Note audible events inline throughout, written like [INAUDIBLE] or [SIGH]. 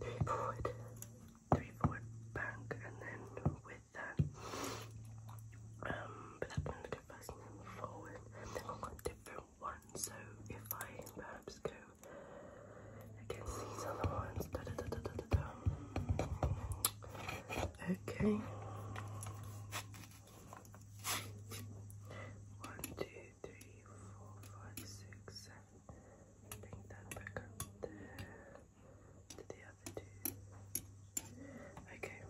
then back, and then with that, um, but that one go first and forward, then I've got different ones. So if I perhaps go against these other ones, Okay. One, two, three, four, five, six, seven. Bring that back to the other two. Okay.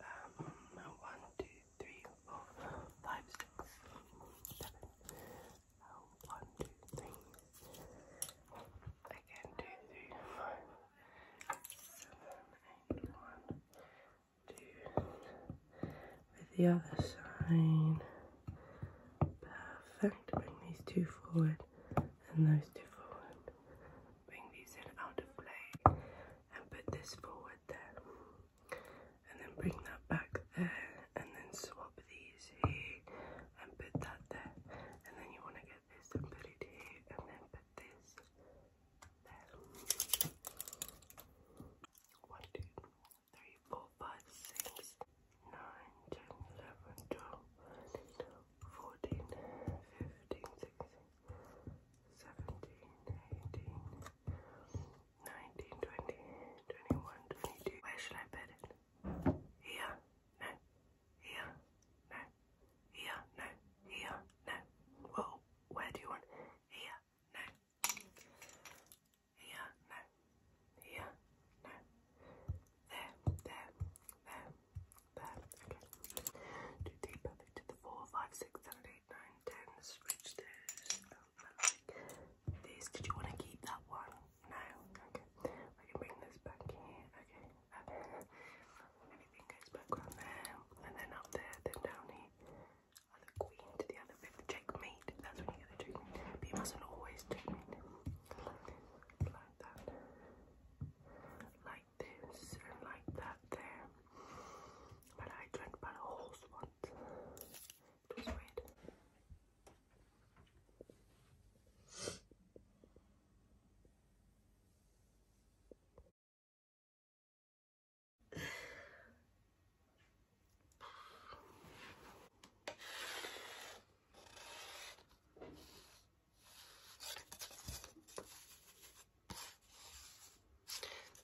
Um, one, two, three, four, five, six, seven. Um, Again, two, three, four, with the other side. Perfect. Bring these two forward and those two forward. Bring these in out of play and put this forward there. And then bring that back there and then swap these here and put that there. And then you want to get get this put it here and then put this One, two, three, four, five, six, nine, ten, eleven, twelve, fourteen, fifteen, sixteen, seventeen, eighteen, nineteen, twenty, twenty-one, twenty-two. Where should I put it? Here? No. Here? No. Here, no. Here, no. Well, where do you want? Here, no. Here, no. Here, no. There, there, there, there. Okay. Do three perfect to the four, five, six, seven, eight, nine, ten. Switch those. This. Did you want to keep that one? No. Okay. I can bring this back here. Okay up Everything goes back on there, and then up there, then down here. Other queen to the other bit, checkmate. That's when you get the checkmate. But mustn't always checkmate. Like, that. Like this, and like that there. But I dreamt about a horse once. It was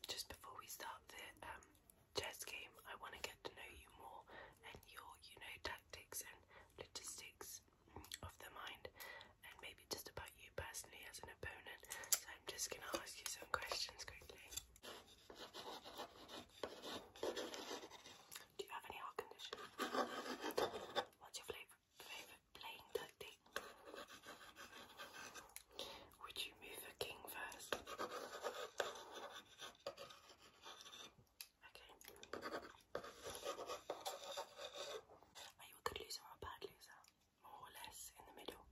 just before we start the um, chess game, I want to get to know you more and your, you know, tactics and logistics of the mind and maybe just about you personally as an opponent. So I'm just going to ask you some questions quickly. Do you have any heart What's your favourite favourite playing tactic? Would you move the king first? Okay. Are you a good loser or a bad loser? More or less in the middle.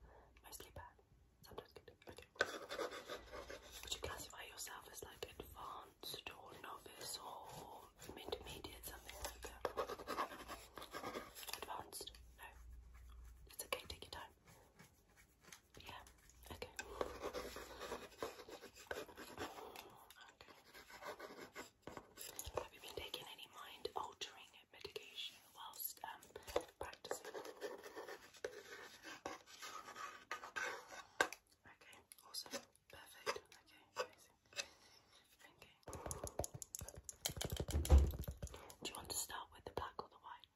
Mostly bad. Sometimes good. Okay. Would you classify yourself as like advanced or novice or intermediate, something like that? Advanced? No. It's okay, take your time. Yeah, okay. Okay. Have you been taking any mind altering medication whilst um, practicing? Okay, awesome. Perfect. Okay, amazing. Okay. Do you want to start with the black or the white?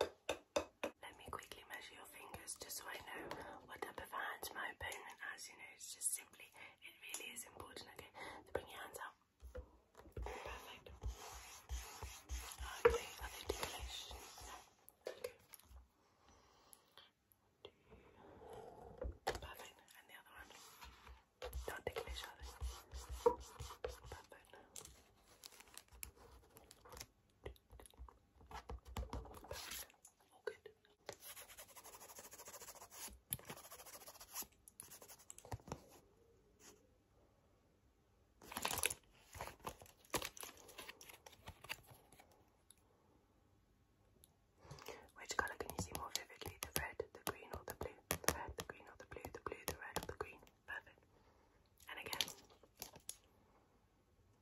Let me quickly measure your fingers just so I know what type of hands my opponent has. You know, it's just simply, it really is important, okay? So bring your hands out. Perfect. Okay, are they Okay. Perfect. And the other one. Don't take a Which color can you see more vividly? The red, the green, or the blue? The red, the green, or the blue? The blue, the red, or the green? Perfect. And again.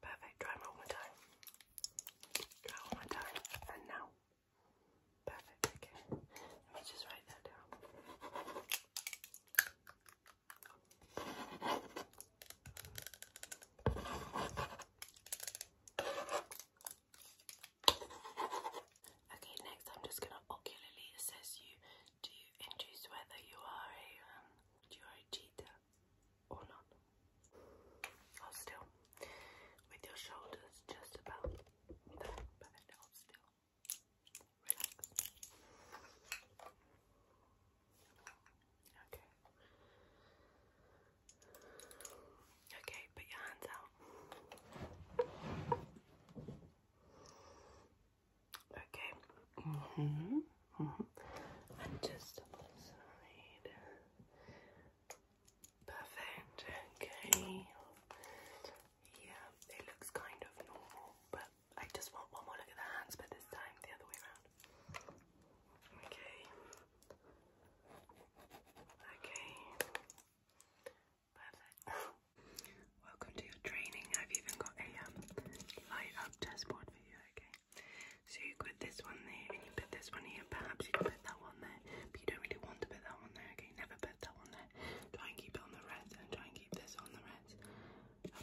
Perfect. Try one more time. Try one more time. And now. Perfect. Okay. Let me just write that down. Okay, next I'm just gonna ocularly assess you to induce whether you are a um, cheater or not. still. With your shoulders just about Okay. Okay, put your hands out. Okay. -hmm. -hmm. And just Perfect. Okay. Yeah, it looks kind of normal, but I just want one more look at the hands, but this time the other way around. Okay. Okay. Perfect. Welcome to your training. I've even got a um, light up chessboard for you, okay? So you put this one there and you put this one here. Perhaps you can put that one there, but you don't really want to put that one there, okay? Never put that one there. Try and keep it on the red and try and keep this on the red.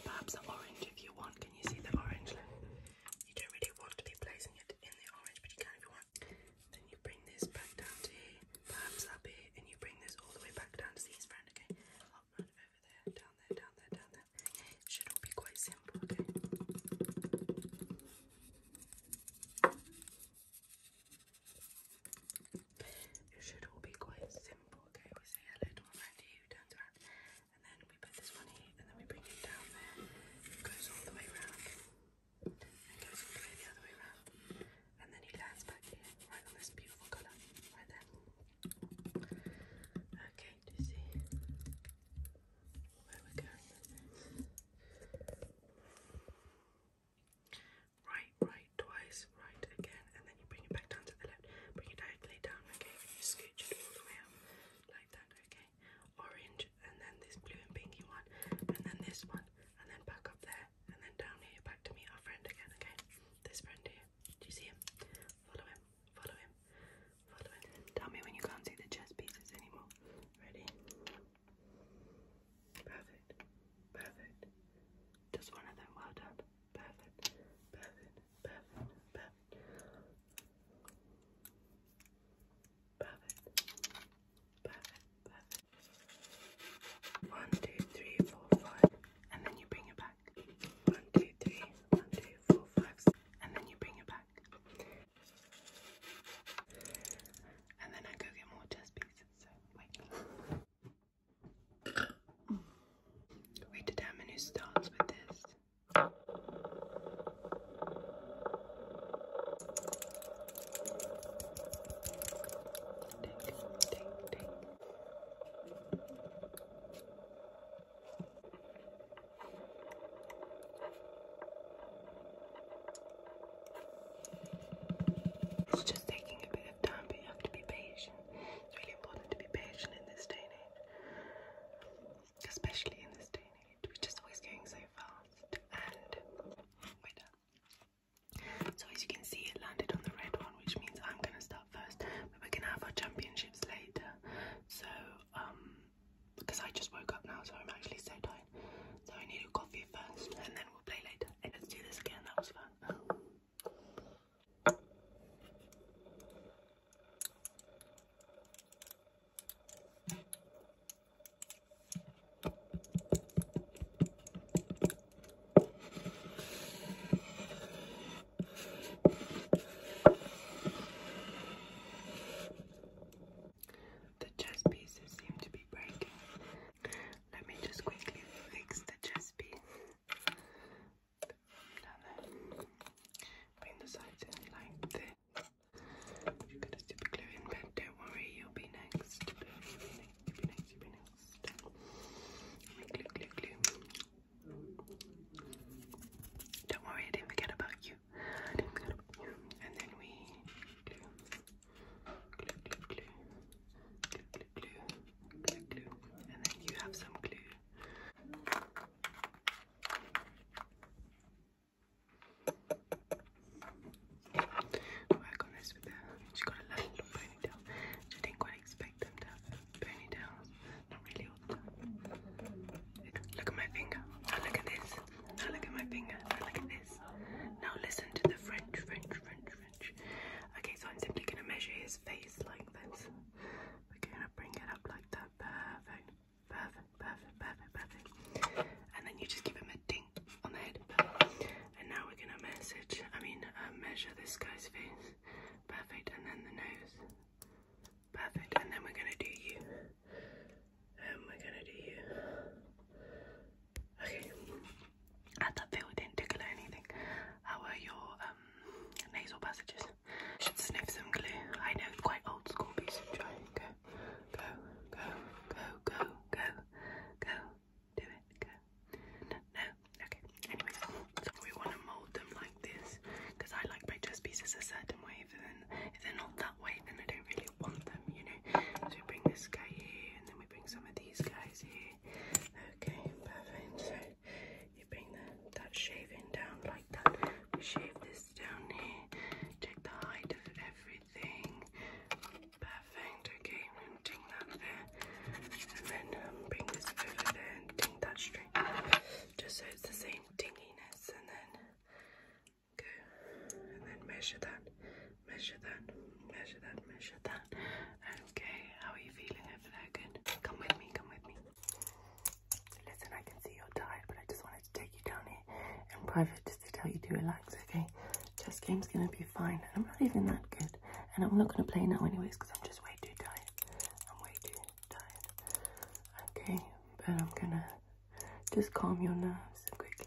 perhaps the orange if you want. Can you see the orange? You don't really want to be placing it in the orange, but you can if you want. Then you bring this back down to here. Perhaps up here, and you bring this all the way back down to see his friend, okay? Up right over there, down there, down there, down there. It should all be quite simple, okay? It should all be quite simple, okay? We say hello to one friend to you, turns around, and then we put this one here, and then we bring it down there. It goes all the way around, and goes all the way the other way around and then he lands back here, right on this beautiful colour, right there. Okay, do you see where we're Right, right, twice, right again, and then you bring it back down to the left. Bring it directly down, okay? scooch it all the way up, like that, okay? Orange, and then this blue and pinky one, and then this one, and then back up there, and then down here, back to meet our friend again, okay? This friend here. Do you see him? Follow him. Follow him. Follow him. Tell me when you can't see the chess pieces anymore. Ready? Perfect. Perfect. Just one of them. Well done. Perfect. Perfect. Perfect. Perfect. Perfect. Perfect, perfect. One, two, three, four, five. And then you bring it back. One, two, three, one, two, four, five. Six. And then you bring it back. And then I go get more chess pieces. So wait. We determine who starts with this. It's just taking a bit of time, but you have to be patient. It's really important to be patient in this day and age, especially in this day and age, which is always going so fast. And we're done. So as you can see, it landed on the red one, which means I'm gonna start first. But we're gonna have our championships later. So because um, I just woke up now, so I'm actually so tired. So I need a coffee first, and then we'll play later. Let's do this again. That was fun. The chess pieces seem to be breaking. Let me just quickly fix the chess piece. Bring the sides in like You've got a super glue but don't worry, You'll be next, you'll be next, you'll be next next. Don't worry, I didn't forget about you. And then we And then you have some glue. I Look at my finger. Now look at this. Now look at my finger. Now look at this. Now listen to the French, French, French, French. Okay, so I'm simply gonna measure his face like this. We're gonna bring it up like that. Perfect, perfect, perfect, perfect, perfect. And then you just keep it on the head. And now we're gonna message, I mean, uh, measure this guy's face. Perfect, and then the nose. Perfect, and then we're gonna do you. And we're gonna do you. Okay. At that feel didn't tickle anything. How were your um, nasal passages? Should sniff some glue. I know quite old school piece of try. go, go, go, go, go, go, do it, No, no, okay. Anyways, so we want to mold them like this because I like my chess pieces a certain way. If they're, if they're not that way, then I don't really want them, you know. So we bring this guy here and then we bring some of these guys here. Okay, perfect. So you bring the, that shaving down like that. We shave this down here. Check the height of everything. Perfect, okay. Ting that there. And then um, bring this over there and ting that straight. Just so it's the same dinginess. And then go. And then measure that. Measure that. Measure that. Measure that. Okay, how are you feeling over there? Good. Come with me, come with me. Listen, I can see you're tired, but I just wanted to take you down here in private to tell you to relax, okay? Chess game's gonna be fine. I'm not even that good, and I'm not gonna play now, anyways, because I'm just way too tired. I'm way too tired, okay? But I'm gonna just calm your nerves quickly.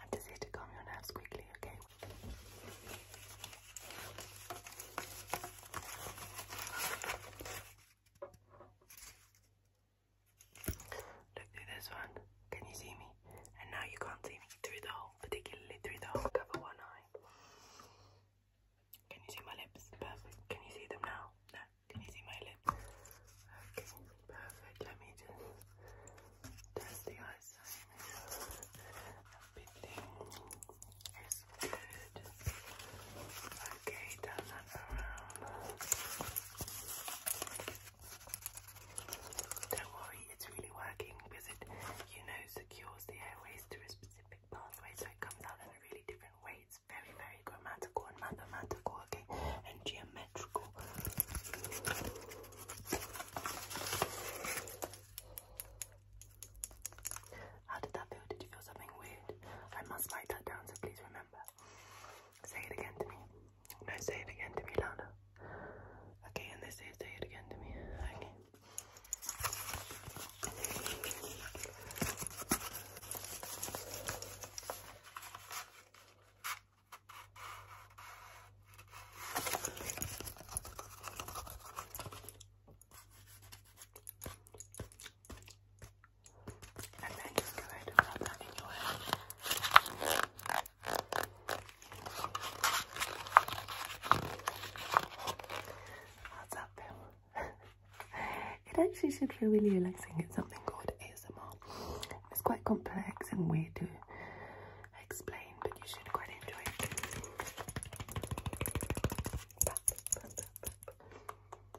I'm just here to calm your nerves quickly, okay? Look through this one. Can you see me? And now you can't see me through the hole, particularly through the hole. Cover one eye. Can you see my lips? Perfect. Can you see them now? No. Can you see my lips? perfect. Let me just test the eyes. Everything good. Okay, Don't worry, it's really working because it, you know, secures the airways through a specific pathway, so it comes out in a really different way. It's very, very grammatical and mathematical, okay, and geometrical. How did that feel? Did you feel something weird? I must write that down, so please remember. Say it again to me. No, say it again to me, Lana. Okay, and they say it again to me. Okay. What's up, Bill? [LAUGHS] it actually should feel really relaxing. It's something called ASMR. It's quite complex and weird to explain, but you should quite enjoy it.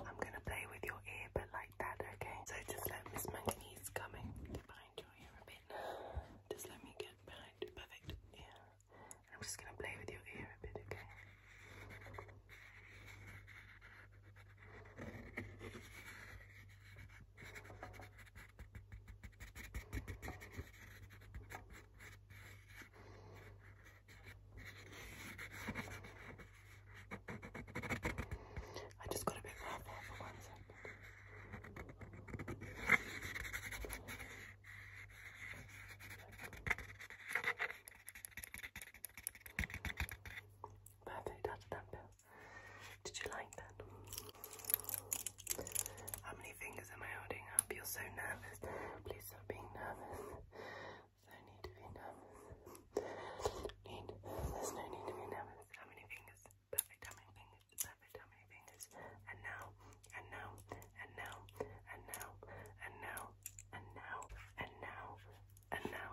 I'm gonna play with your ear, but like that, okay? So just let Miss Manganese come in behind your ear a bit. Just let me get behind. Perfect. Yeah. I'm just gonna play with your ear a bit, Okay, I just got a bit ruffled for one second. Perfect, that's that bill. Did you like that? How many fingers am I holding up? You're so nervous. Please stop being nervous. So I need to be nervous. need, there's no need to be nervous. How many fingers? Perfect. How many fingers? Perfect. How many fingers? And now, and now, and now, and now, and now, and now, and now, and now.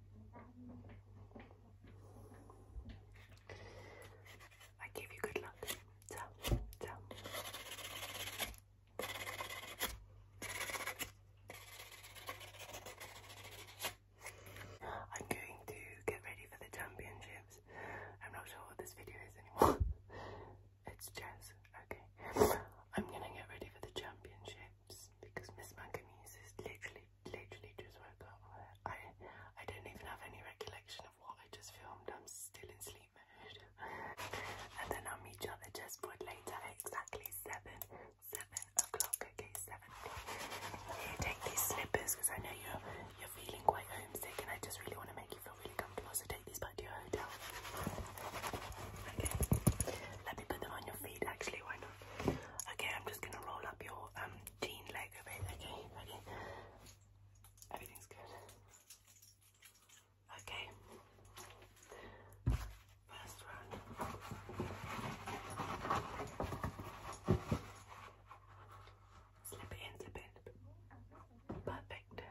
I give you good luck. Ciao, ciao. I'm going to get ready for the championships. I'm not sure what this video is anymore. [LAUGHS] it's chess. Okay. I'm gonna get ready for the championship because Miss Manganese is literally, literally just woke up. I, I don't even have any recollection of what I just filmed. I'm still in sleep mode. [LAUGHS] and then I'll meet you at the chessboard later exactly 7, 7 o'clock, okay, 7 o'clock. Here, take these slippers because I know you're, you're feeling quite homesick and I just really want to make you feel really comfortable, so take these back to your hotel. Okay. Let me put them on your feet, actually, why not? Okay, I'm just gonna roll up your um jean leg a okay? Everything's good. Okay. First round. Slip it in, slip it in. Perfect.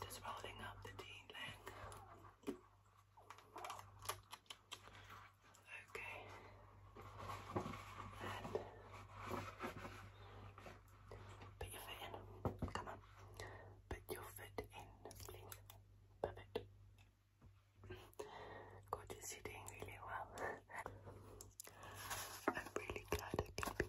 just rolling up the D green Okay. put your foot in. Come on. Put your foot in, please. Perfect. Gorgeous, you're doing really well. [LAUGHS] I'm really glad I could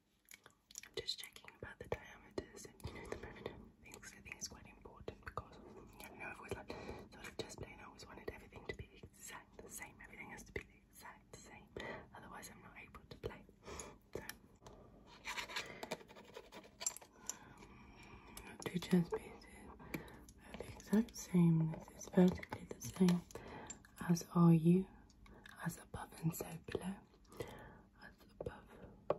I'm just checking about the diameters and you know the measurement things. I think it's quite important because I don't know I've always like sort of just playing. I always wanted everything to be the exact the same. Everything has to be the exact same. Otherwise, I'm not able to play. So two chess pieces are the exact same. It's basically the same as are you as above and so below as above.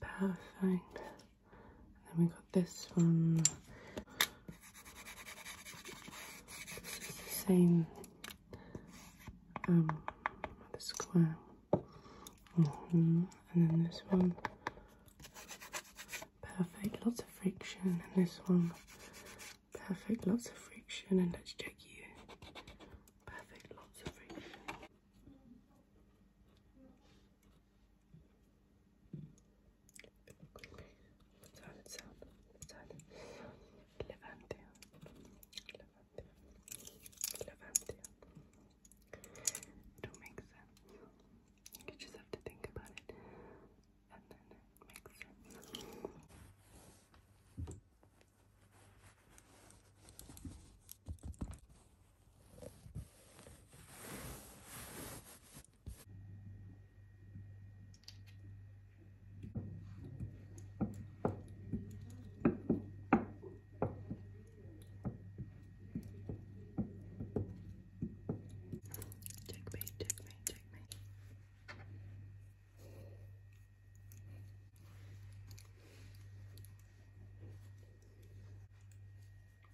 Perfect. And then we got this one. This is the same um the square. Mm And then this one. Perfect. Lots of friction. in this one Perfect, lots of friction, and let's check you. Perfect, lots of friction. Don't make sense. You just have to think about it and then it makes sense. Checkmate,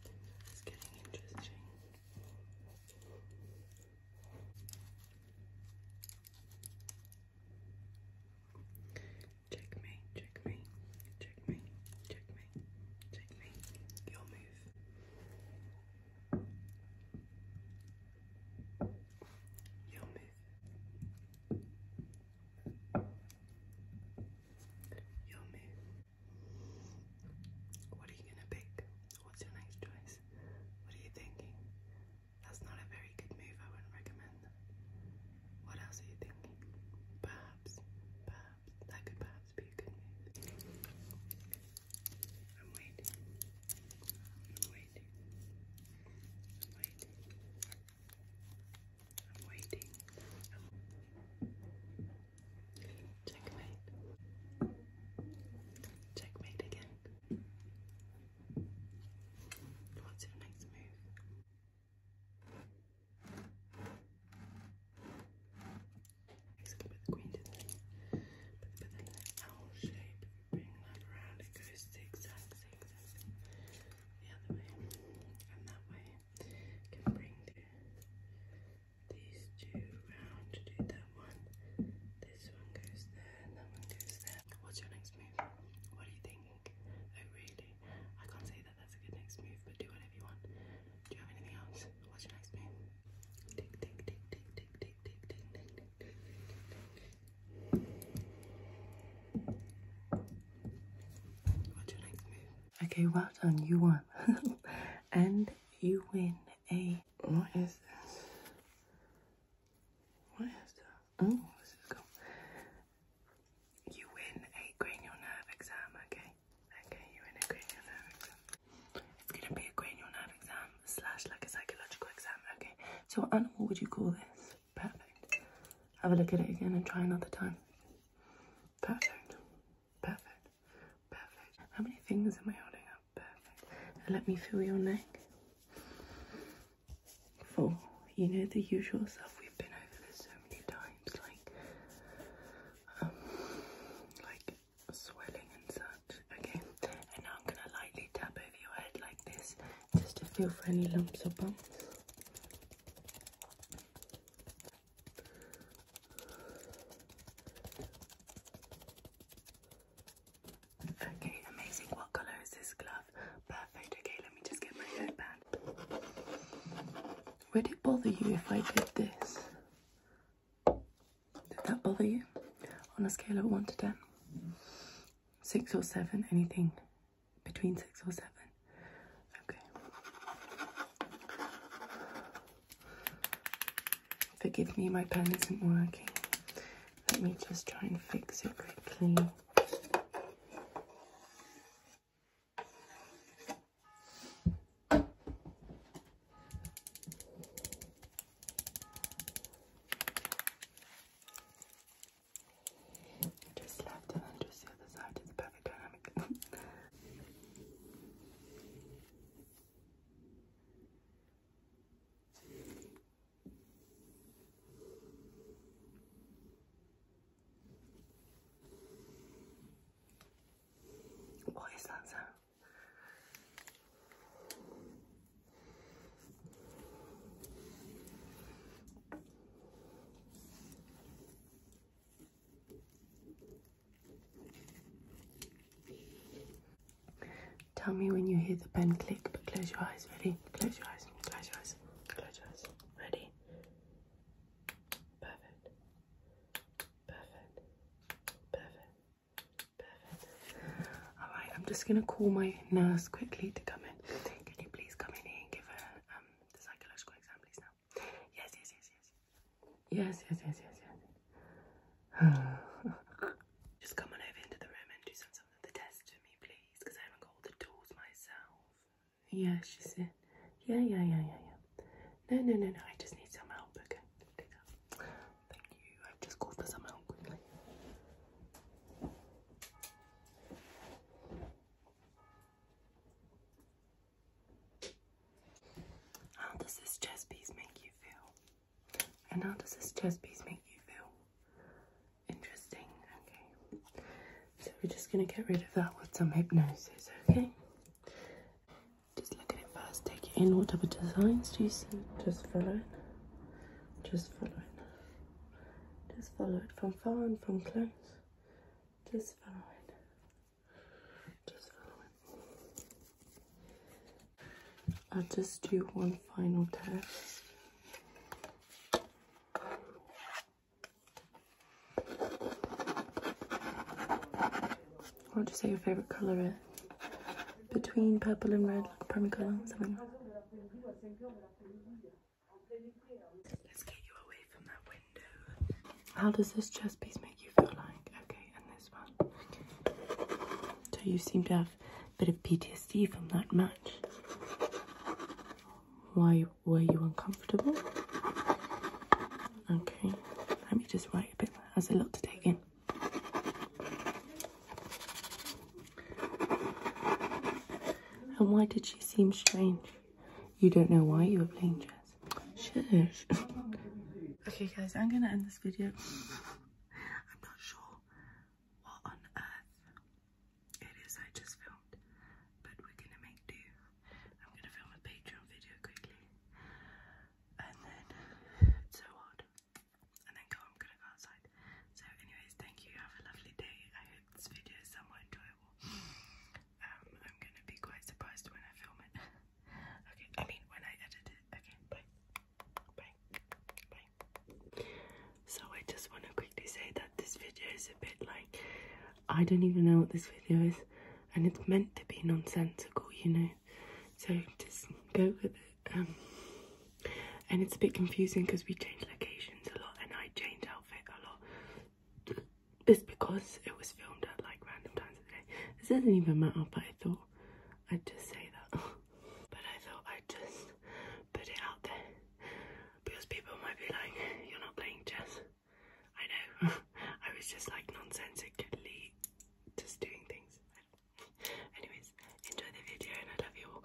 this is getting interesting. Check me, check me, check me, check me, check me. Your move. You'll What are you gonna pick? What's your next choice? What are you thinking? That's not a very good move, I wouldn't recommend that. What else are you thinking? Perhaps, perhaps, that could perhaps be a good move. I'm waiting. waiting. waiting. I'm waiting. Checkmate. Checkmate again. What's your next move? Except with the queen, didn't But, then the owl shape bring that around, it goes zigzag, zigzag the other way, and that way can bring these two round to do that one. This one goes there, that one goes there. What's your next move? What are you thinking? Oh, really? I can't say that that's a good next move, but do whatever you want. Do you have anything else? What's your next move? [LAUGHS] Okay, well done, you won. and you win a what is this? What is that? Oh, this is cool. You win a cranial nerve exam, okay? Okay, you win a cranial nerve exam. It's gonna be a cranial nerve exam slash like a psychological exam. Okay, so what animal would you call this? Perfect. Have a look at it again and try another time. Perfect. Perfect. Perfect. How many things am I holding up? Perfect. Let me feel your neck. Four. You know the usual stuff. We've been over this so many times. Like, um, like swelling and such. Okay, and now I'm gonna lightly tap over your head like this just to feel for any lumps or bumps. Okay, amazing. What colour is this glove? Perfect. Okay, let me just get my headband. Would it bother you if I did this? Did that bother you? On a scale of 1 to 10? 6 or 7? Anything between 6 or 7? Okay. Forgive me, my pen isn't working. Let me just try and fix it quickly. Just left and then just the other side is perfect What is that sound? Tell me when you hear the pen click, but close your eyes. Ready? Close your eyes. Close your eyes. Close your eyes. Ready? Perfect. Perfect. Perfect. Perfect. All right, I'm just gonna call my nurse quickly to come in. Can you please come in here and give her um the psychological exam, please now? Yes, yes, yes, yes. Yes, yes, yes, yes, yes. [SIGHS] just come on over into the room and do some some of the tests for me, please, because I haven't got all the tools myself. Yeah, she said. Yeah, yeah, yeah, yeah, yeah. No, no, no, no. I just need some help. Okay. Thank you. I just called for some help quickly. How does this chess piece make you feel? And how does this chest piece make you feel? Interesting, okay. So we're just gonna get rid of that with some hypnosis, okay? look at it first, take it in. What type of designs do you see? Just follow it. Just follow it. Just follow it from far and from close. Just follow it. Just follow it. I'll just do one final test. What would you say your favorite color is? Between purple and red, like a primary color, something Let's get you away from that window. How does this chess piece make you feel like? Okay, and this one. Do you seem to have a bit of PTSD from that match. Why were you uncomfortable? Okay, let me just write a bit. That's a lot to take in. And why did she seem strange? You don't know why you were playing chess. Shush. [LAUGHS] okay, guys, I'm gonna end this video. I'm not sure what on earth it is I just filmed, but we're gonna make do. I'm gonna film a Patreon video quickly, and then so hard and then go, I'm gonna go outside. So anyways, thank you, have a lovely day. I hope this video is somewhat enjoyable. Um, I'm gonna be quite surprised when I film it. [LAUGHS] okay, I mean when I edit it. Okay, bye. Bye. Bye. So I just wanna quickly say that this video is a bit like I don't even know what this video is and it's meant to be nonsensical, you know. So just go with it. Um, and it's a bit confusing because we change locations a lot and I change outfit a lot. It's because it was filmed at like random times of the day. This doesn't even matter, but I thought I'd just say that. [LAUGHS] but I thought I'd just put it out there because people might be like, you're not playing chess. I know. [LAUGHS] I was just like nonsensically just doing things. Anyways, enjoy the video and I love you all.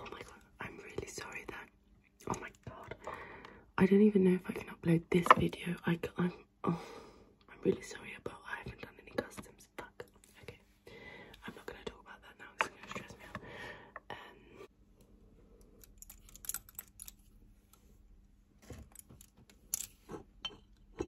oh my god, I'm really sorry that. Oh my god, I don't even know if I can upload this video. I I'm oh, I'm really sorry about I haven't done any customs. Fuck. Okay, I'm not gonna talk about that now. It's gonna stress me out. Um,